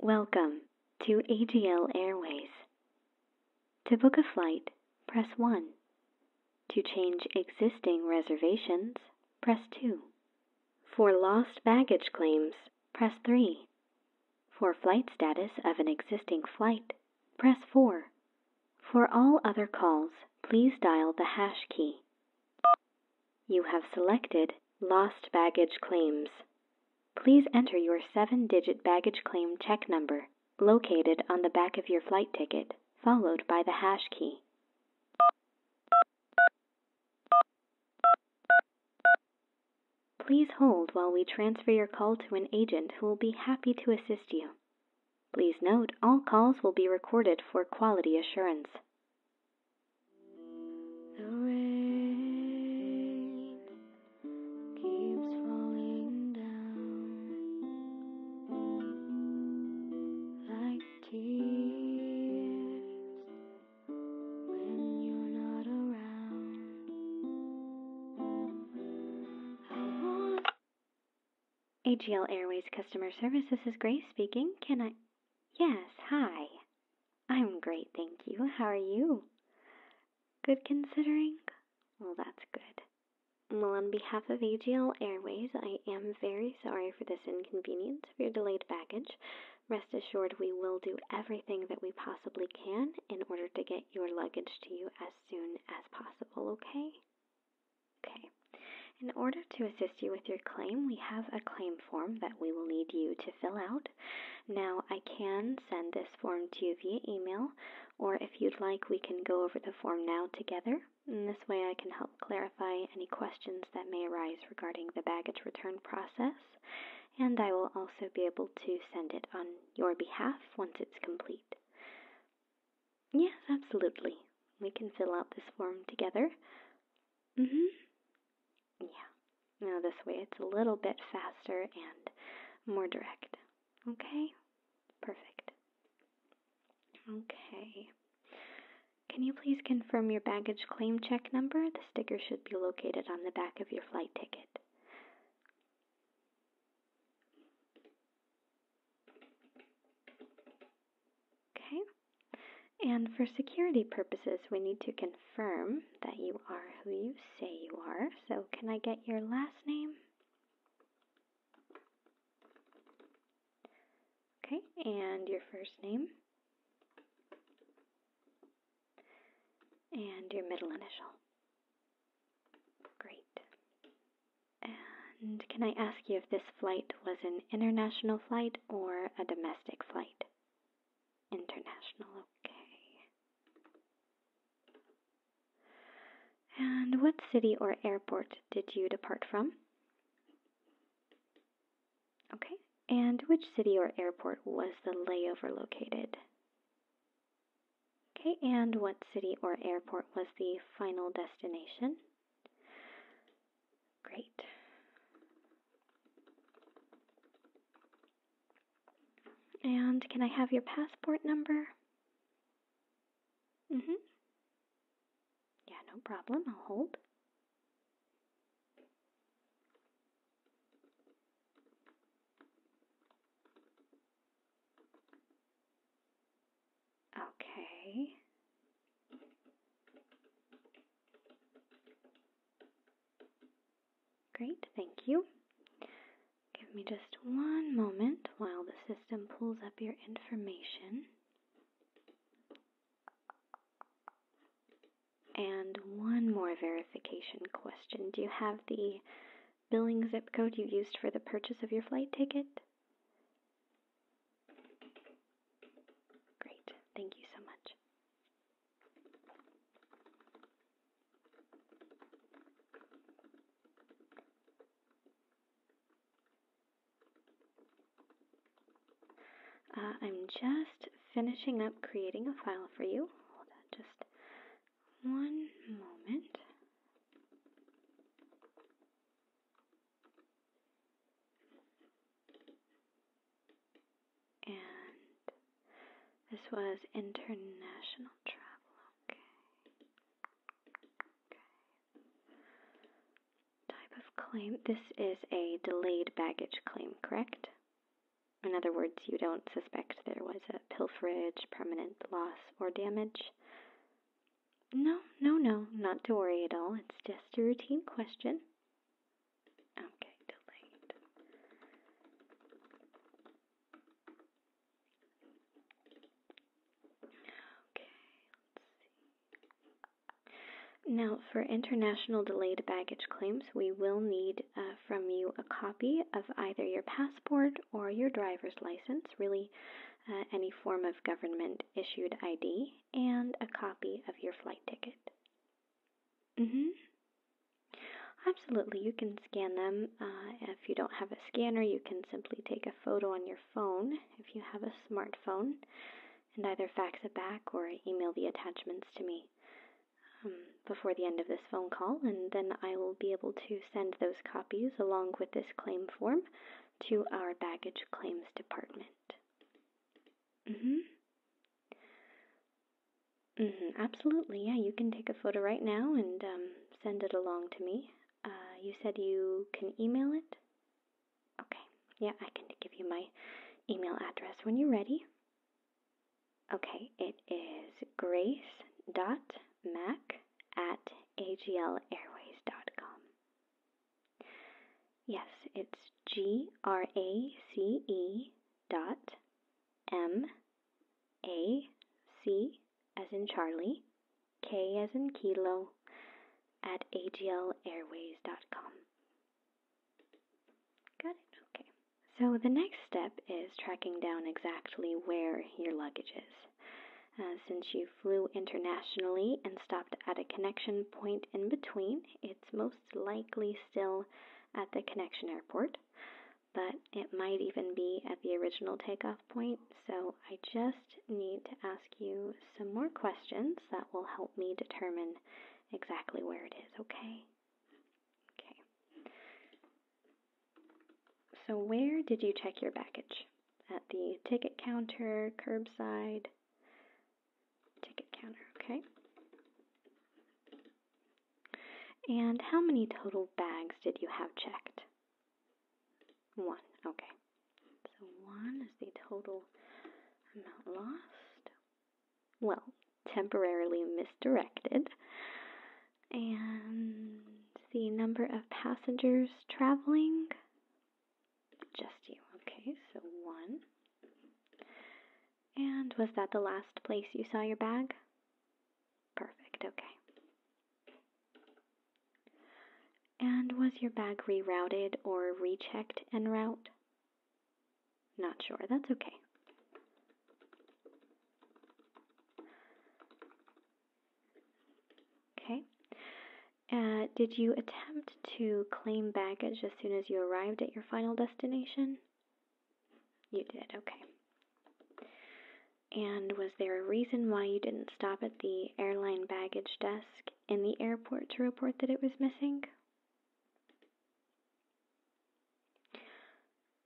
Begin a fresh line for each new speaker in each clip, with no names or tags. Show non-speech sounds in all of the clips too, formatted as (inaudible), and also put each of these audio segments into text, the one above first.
Welcome to AGL Airways. To book a flight, press 1. To change existing reservations, press 2. For lost baggage claims, press 3. For flight status of an existing flight, press 4. For all other calls, please dial the hash key. You have selected Lost Baggage Claims. Please enter your 7-digit baggage claim check number located on the back of your flight ticket, followed by the hash key. Please hold while we transfer your call to an agent who will be happy to assist you. Please note all calls will be recorded for quality assurance. AGL Airways Customer Service, this is Grace speaking. Can I? Yes, hi. I'm great, thank you. How are you? Good considering? Well, that's good. Well, on behalf of AGL Airways, I am very sorry for this inconvenience with your delayed baggage. Rest assured, we will do everything that we possibly can in order to get your luggage to you as soon as possible, okay? Okay. In order to assist you with your claim, we have a claim form that we will need you to fill out. Now, I can send this form to you via email, or if you'd like, we can go over the form now together. In this way, I can help clarify any questions that may arise regarding the baggage return process and I will also be able to send it on your behalf once it's complete. Yes, absolutely. We can fill out this form together. Mhm. Yeah. Now this way it's a little bit faster and more direct. Okay? Perfect. Okay. Can you please confirm your baggage claim check number? The sticker should be located on the back of your flight ticket. Okay. And for security purposes, we need to confirm that you are who you say you are. So, can I get your last name? Okay, and your first name? and your middle initial. Great. And can I ask you if this flight was an international flight or a domestic flight? International, okay. And what city or airport did you depart from? Okay, and which city or airport was the layover located? Okay, and what city or airport was the final destination? Great. And can I have your passport number? Mm hmm. Yeah, no problem. I'll hold. Okay. Great, thank you. Give me just one moment while the system pulls up your information. And one more verification question. Do you have the billing zip code you used for the purchase of your flight ticket? Great, thank you so much. Uh, I'm just finishing up creating a file for you. Hold on just one moment. And this was international travel. Okay. okay. Type of claim. This is a delayed baggage claim, correct? In other words, you don't suspect there was a pilferage, permanent loss, or damage? No, no, no, not to worry at all. It's just a routine question. Okay, delayed. Okay, let's see. Now, for international delayed baggage claims, we will need uh, from you a copy of either your passport or your driver's license, really uh, any form of government issued ID, and a copy of your flight ticket. Mm-hmm. Absolutely, you can scan them. Uh, if you don't have a scanner, you can simply take a photo on your phone if you have a smartphone and either fax it back or email the attachments to me um, before the end of this phone call, and then I will be able to send those copies along with this claim form to our baggage claims department. Mm-hmm. Mm-hmm, absolutely. Yeah, you can take a photo right now and um, send it along to me. Uh, you said you can email it? Okay, yeah, I can give you my email address when you're ready. Okay, it is grace dot mac at aglairways dot com. Yes, it's G R A C E dot M A C as in Charlie, K as in Kilo at aglairways dot com. Got it? Okay. So the next step is tracking down exactly where your luggage is. Uh, since you flew internationally and stopped at a connection point in between, it's most likely still at the connection airport, but it might even be at the original takeoff point. So I just need to ask you some more questions that will help me determine exactly where it is, okay? Okay. So where did you check your baggage? At the ticket counter, curbside, ticket counter, okay? And how many total bags did you have checked? One, okay. So 1 is the total amount lost. Well, temporarily misdirected. And the number of passengers traveling. Just you. Okay, so 1. And was that the last place you saw your bag? Perfect, okay. And was your bag rerouted or rechecked en route? Not sure, that's okay. Okay. Uh, did you attempt to claim baggage as soon as you arrived at your final destination? You did, okay. And was there a reason why you didn't stop at the airline baggage desk in the airport to report that it was missing?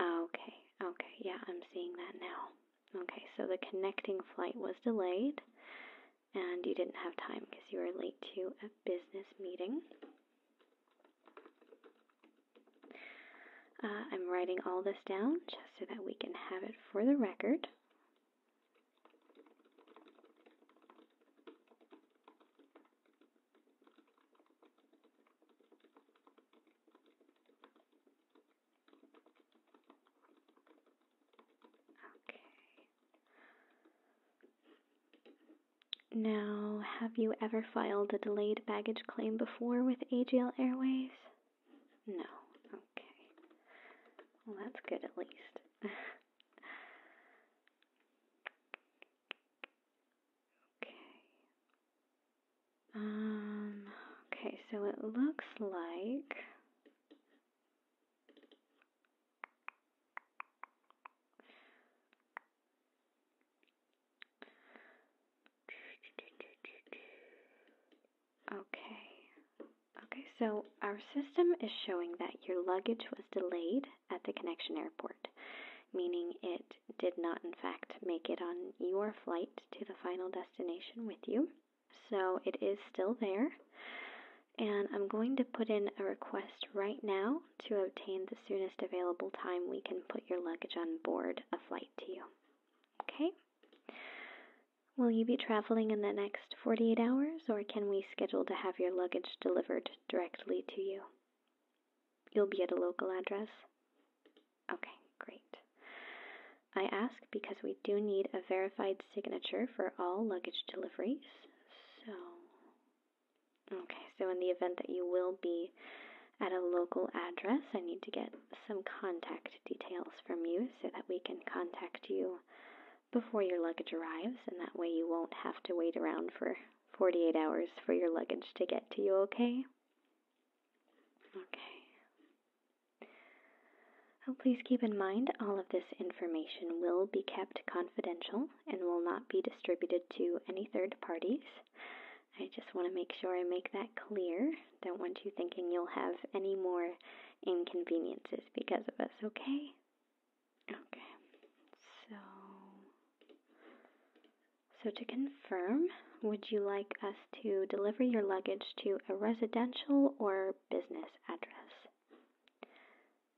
Okay, okay, yeah, I'm seeing that now. Okay, so the connecting flight was delayed and you didn't have time because you were late to a business meeting. Uh, I'm writing all this down just so that we can have it for the record. Now, have you ever filed a delayed baggage claim before with AGL Airways? No. Okay. Well, that's good at least. (laughs) Okay. Um, okay, so it looks like Okay. Okay, so our system is showing that your luggage was delayed at the connection airport, meaning it did not, in fact, make it on your flight to the final destination with you. So it is still there. And I'm going to put in a request right now to obtain the soonest available time we can put your luggage on board a flight to you. Okay? Will you be traveling in the next 48 hours, or can we schedule to have your luggage delivered directly to you? You'll be at a local address? Okay, great. I ask because we do need a verified signature for all luggage deliveries. So, okay, so in the event that you will be at a local address, I need to get some contact details from you so that we can contact you before your luggage arrives, and that way you won't have to wait around for 48 hours for your luggage to get to you, okay? Okay. Oh, please keep in mind all of this information will be kept confidential and will not be distributed to any third parties. I just want to make sure I make that clear. Don't want you thinking you'll have any more inconveniences because of us, okay? Okay, so. So to confirm, would you like us to deliver your luggage to a residential or business address?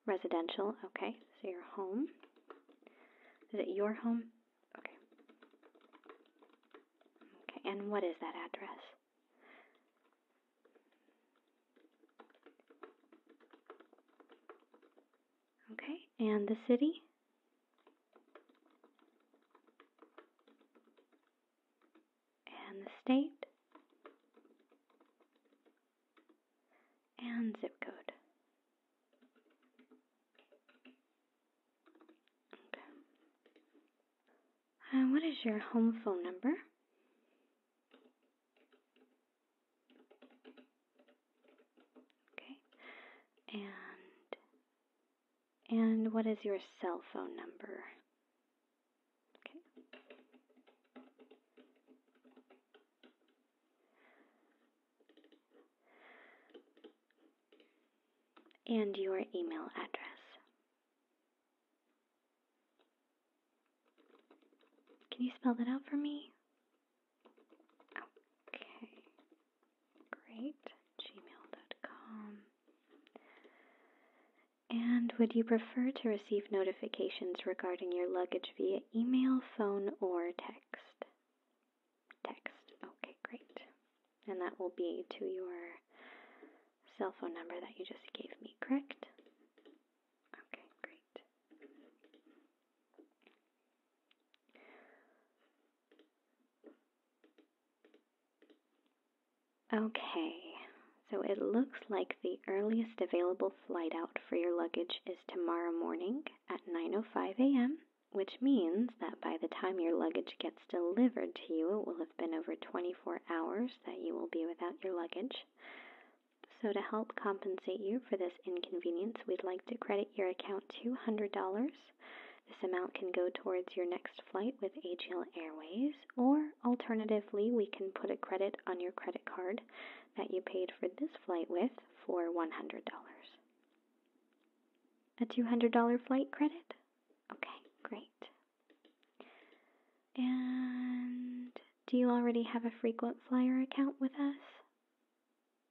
Residential, okay, so your home. Is it your home? Okay. Okay, and what is that address? Okay, and the city? And the state? And zip code what is your home phone number? Okay. And and what is your cell phone number? Okay. And your email address. Can you spell that out for me? Okay. Great. Gmail.com. And would you prefer to receive notifications regarding your luggage via email, phone, or text? Text. Okay, great. And that will be to your cell phone number that you just gave me, correct? Okay, great. Okay, so it looks like the earliest available flight out for your luggage is tomorrow morning at 9:05 a.m., which means that by the time your luggage gets delivered to you, it will have been over 24 hours that you will be without your luggage. So, to help compensate you for this inconvenience, we'd like to credit your account $200. This amount can go towards your next flight with AGL Airways, or alternatively, we can put a credit on your credit card that you paid for this flight with for $100. A $200 flight credit? Okay, great. And do you already have a frequent flyer account with us?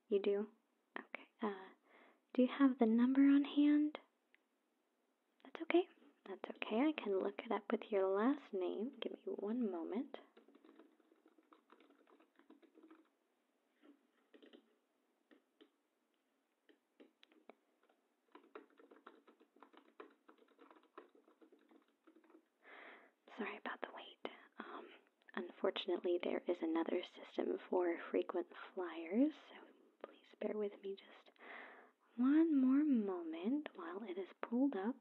You do? Okay. Uh, do you have the number on hand? That's okay. That's okay. I can look it up with your last name. Give me one moment. Sorry about the wait. Um, unfortunately, there is another system for frequent flyers, so please bear with me just one more moment while it is pulled up.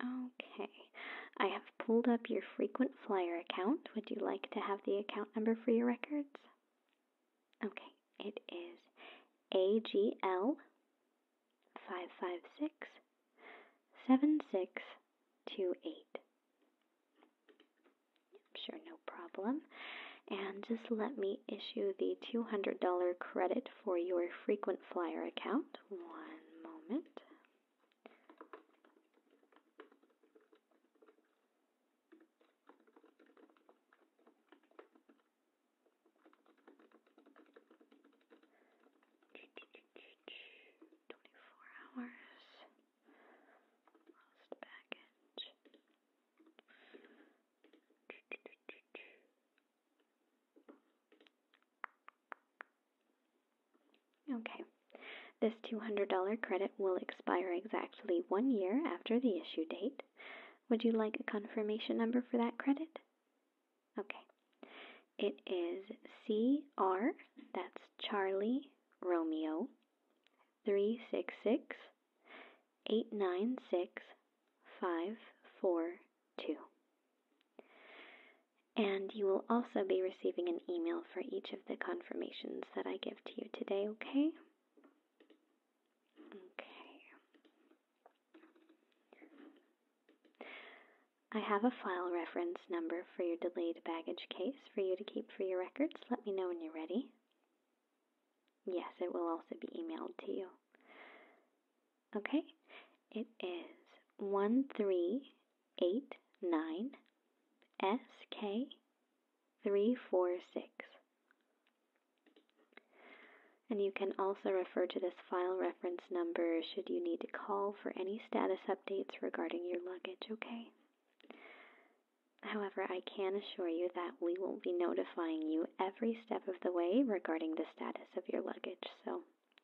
Okay, I have pulled up your frequent flyer account. Would you like to have the account number for your records? Okay, it is AGL 556 7628. Sure, no problem. And just let me issue the $200 credit for your frequent flyer account. One moment. Twenty-four hours. Lost baggage. Okay. This $200 credit will expire exactly one year after the issue date. Would you like a confirmation number for that credit? Okay. It is CR, that's Charlie Romeo, 366 896 54 Two. And you will also be receiving an email for each of the confirmations that I give to you today, okay? Okay. I have a file reference number for your delayed baggage case for you to keep for your records. Let me know when you're ready. Yes, it will also be emailed to you. Okay, it is 1389 SK346. And you can also refer to this file reference number should you need to call for any status updates regarding your luggage, okay? However, I can assure you that we will be notifying you every step of the way regarding the status of your luggage. So,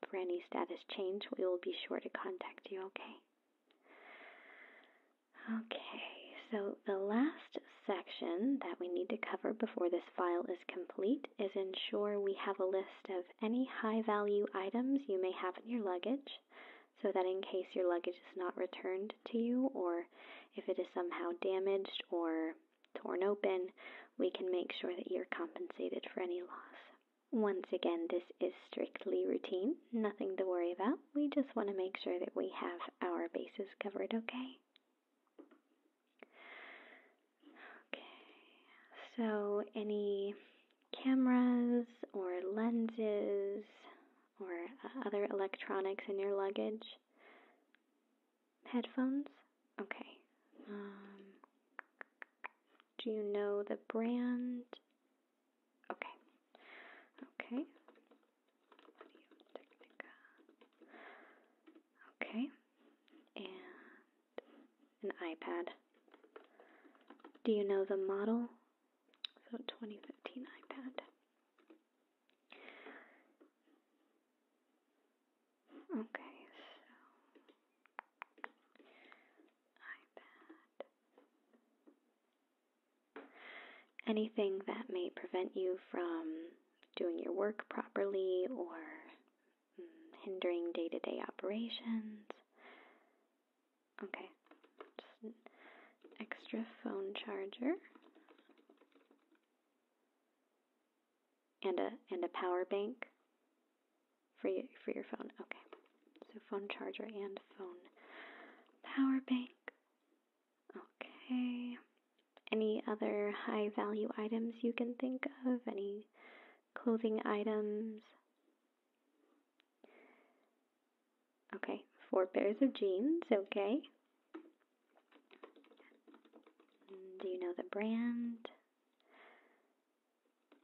for any status change, we will be sure to contact you, okay? Okay, so the last section that we need to cover before this file is complete is ensure we have a list of any high value items you may have in your luggage so that in case your luggage is not returned to you or if it is somehow damaged or torn open, we can make sure that you're compensated for any loss. Once again, this is strictly routine, nothing to worry about. We just want to make sure that we have our bases covered, okay? Okay, so any cameras or lenses or other electronics in your luggage? headphones? Okay. Um, do you know the brand? Okay. Okay. Okay. And an iPad. Do you know the model? So 2015 iPad. Okay, so Anything that may prevent you from doing your work properly or mm, hindering day to day operations. Okay, extra phone charger and a and a power bank for your for your phone. Okay. So phone charger and phone power bank. Okay. Any other high value items you can think of? Any clothing items? Okay, four pairs of jeans, okay. Do you know the brand?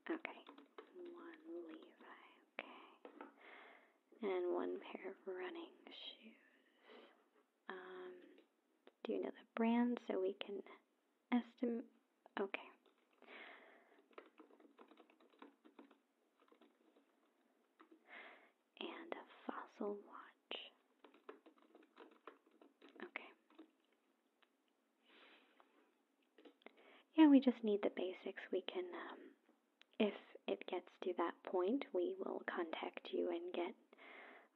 Okay, one Levi, okay. And one pair of running shoes. Um, do you know the brand so we can estimate? Okay and a fossil watch. Okay. Yeah, we just need the basics. We can, um, if it gets to that point, we will contact you and get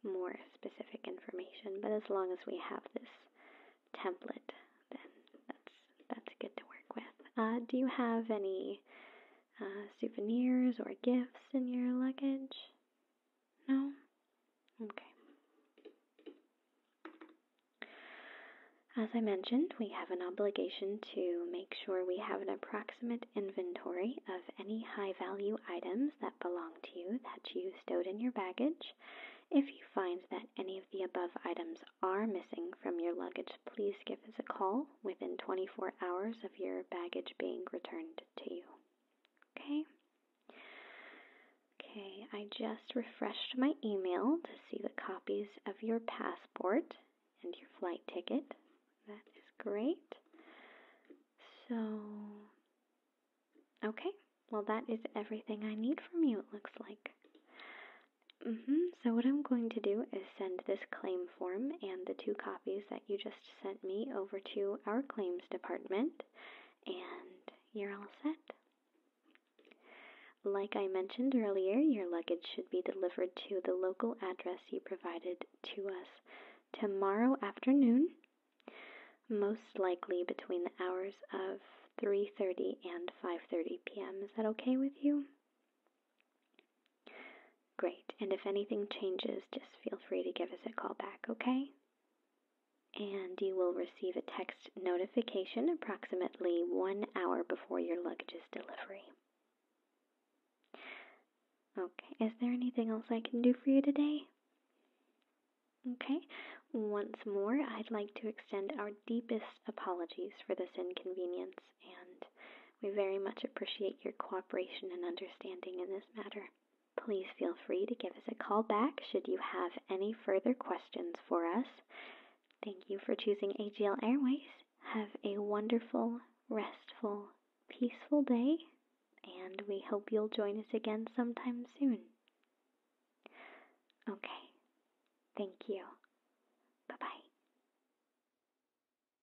more specific information. But as long as we have this template, then that's that's good to work with. Uh, do you have any uh, souvenirs or gifts in your luggage? No? Okay. As I mentioned, we have an obligation to make sure we have an approximate inventory of any high value items that belong to you that you stowed in your baggage. If you find that any of the above items are missing from your luggage please give us a call within 24 hours of your baggage being returned to you. Okay? Okay, I just refreshed my email to see the copies of your passport and your flight ticket. That is great. So, okay, well, that is everything I need from you, it looks like. Mm-hmm. So what I'm going to do is send this claim form and the two copies that you just sent me over to our claims department, and you're all set. Like I mentioned earlier, your luggage should be delivered to the local address you provided to us tomorrow afternoon, most likely between the hours of 3:30 and 5:30 p.m. Is that okay with you? Great. And if anything changes, just feel free to give us a call back, okay? And you will receive a text notification approximately one hour before your luggage's delivery. Okay, is there anything else I can do for you today? Okay, once more, I'd like to extend our deepest apologies for this inconvenience and we very much appreciate your cooperation and understanding in this matter. Please feel free to give us a call back should you have any further questions for us. Thank you for choosing AGL Airways. Have a wonderful, restful, peaceful day, and we hope you'll join us again sometime soon. Okay. Thank you. Bye bye.